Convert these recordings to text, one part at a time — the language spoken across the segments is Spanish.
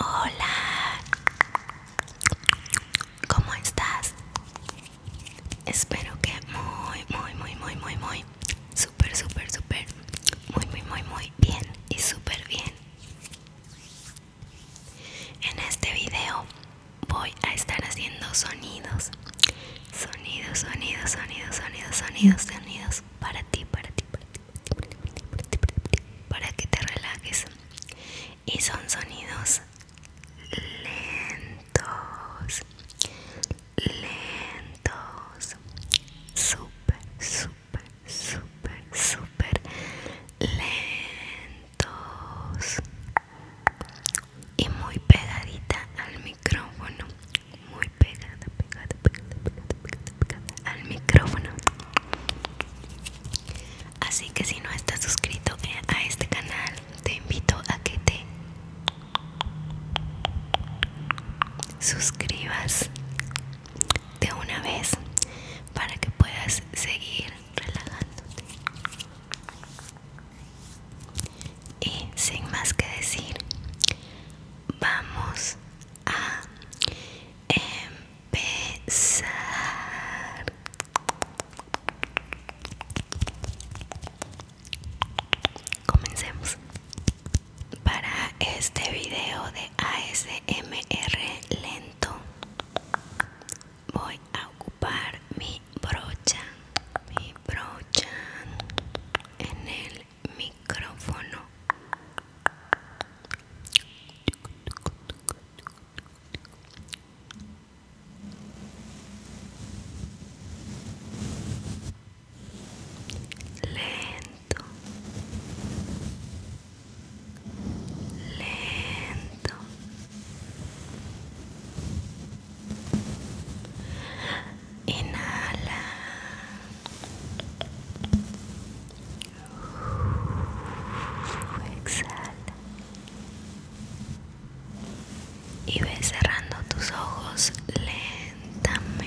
Hola, ¿cómo estás? Espero que muy, muy, muy, muy, muy, muy, súper, súper, súper, muy, muy, muy, muy bien y súper bien. En este video voy a estar haciendo sonidos Sonidos, sonidos, sonidos, sonidos, sonidos, sonidos para ti, para ti, para ti, para ti, para ti, para, que te relajes. Y son sonidos lentos, lentos, super super super super lentos y muy pegadita al micrófono muy pegada pegada pegada pegada pegada, al micrófono así que si no estás suscrito eh, a este canal te invito a que te suscribas de una vez para que puedas seguir relajándote y sin más que decir, vamos a empezar. Comencemos. Para este video de ASMR lento voy a ocupar mi brochan, brocha, mi brocha en el micrófono. Lento, lento, Inhala. Exhala. Y ve cerrando tus ojos lentamente.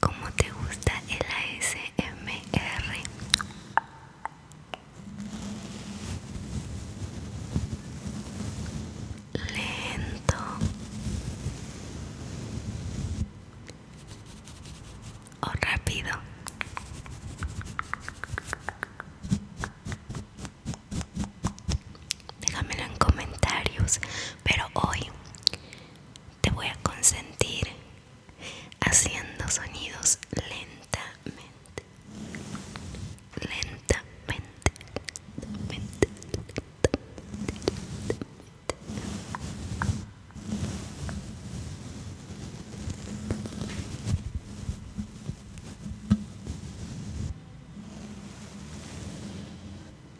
¿Cómo te gusta el ASMR? Lento. O rápido. Déjamelo en comentarios, pero hoy te voy a consentir haciendo sonidos lentamente, lentamente, lentamente,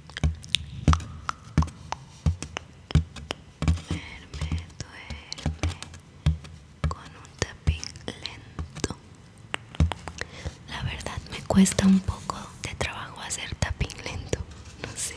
Duerme, duerme con un tapping lento. La verdad me cuesta un poco de trabajo hacer tapping lento, no sé.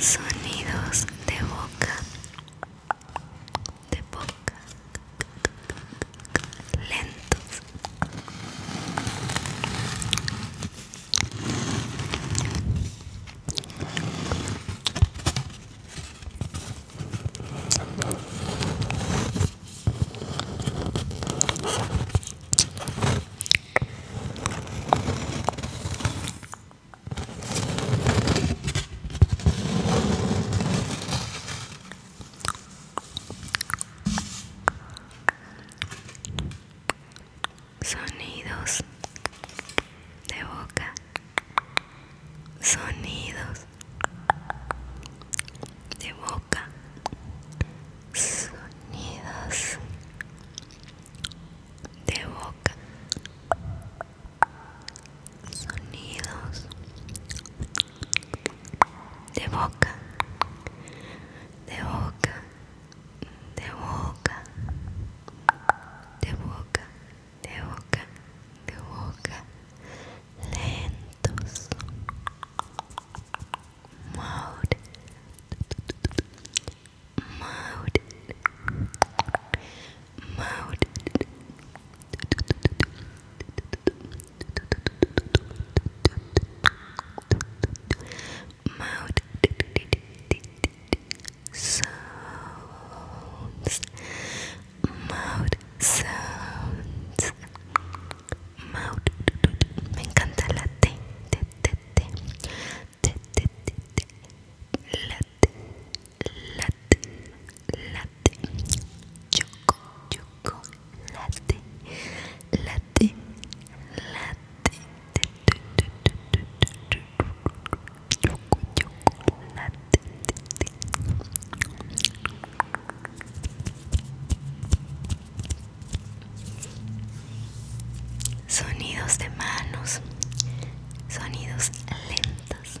Sonidos de boca. De boca. Lentos. Sonidos de boca. Sonidos de boca sonidos de boca sonidos de boca de boca de boca de boca de boca de boca lentos mode mode mode mode sounds mode sounds mode me encanta la T, T, T, tete tete tete latte latte latte choco choco latte latte latte tete tete tete choco choco latte tete sonidos de manos, sonidos lentos.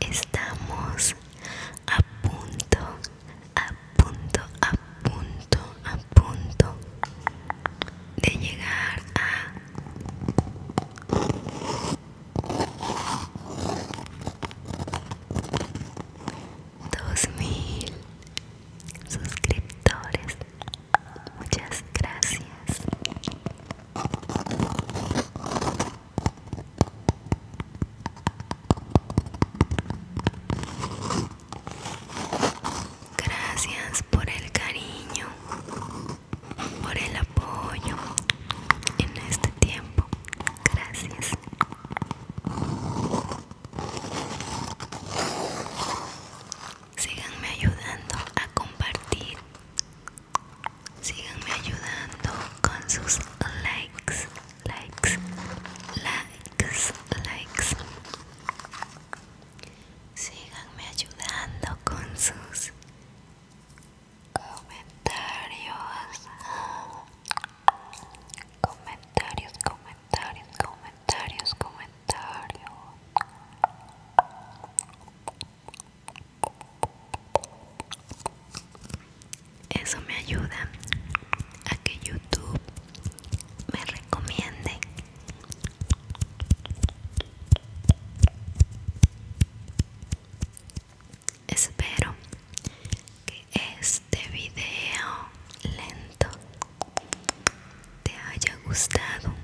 Estamos a punto, a punto, a punto, a punto de llegar a dos mil suscriptores muchas gracias gracias por el cariño por el apoyo en este tiempo gracias Síganme ayudando a compartir. Síganme ayudando con sus likes, likes, likes, likes. Síganme ayudando con sus comentarios comentarios comentarios comentarios comentarios eso me ayuda a que youtube me recomiende Espero que este video lento te haya gustado.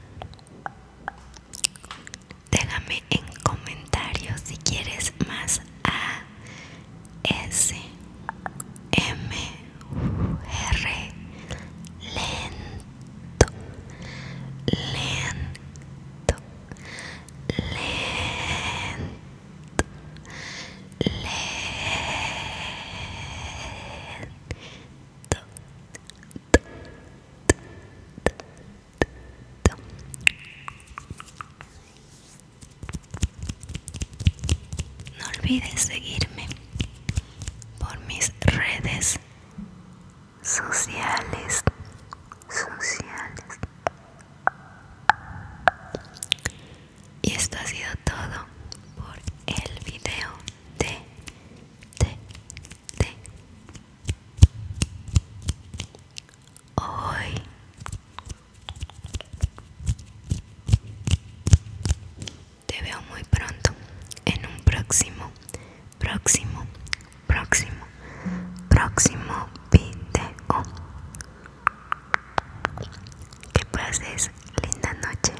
Déjame en comentarios si quieres más A S M R lento lento lento no olvides seguirme por mis redes sociales, sociales, y esto ha sido todo por el video de, de, hoy. Te veo muy pronto en un próximo, próximo, próximo próximo video. Que pases linda noche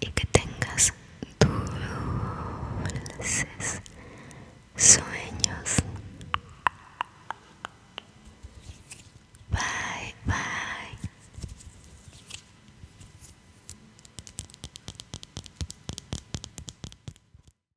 y que tengas dulces sueños. Bye, bye.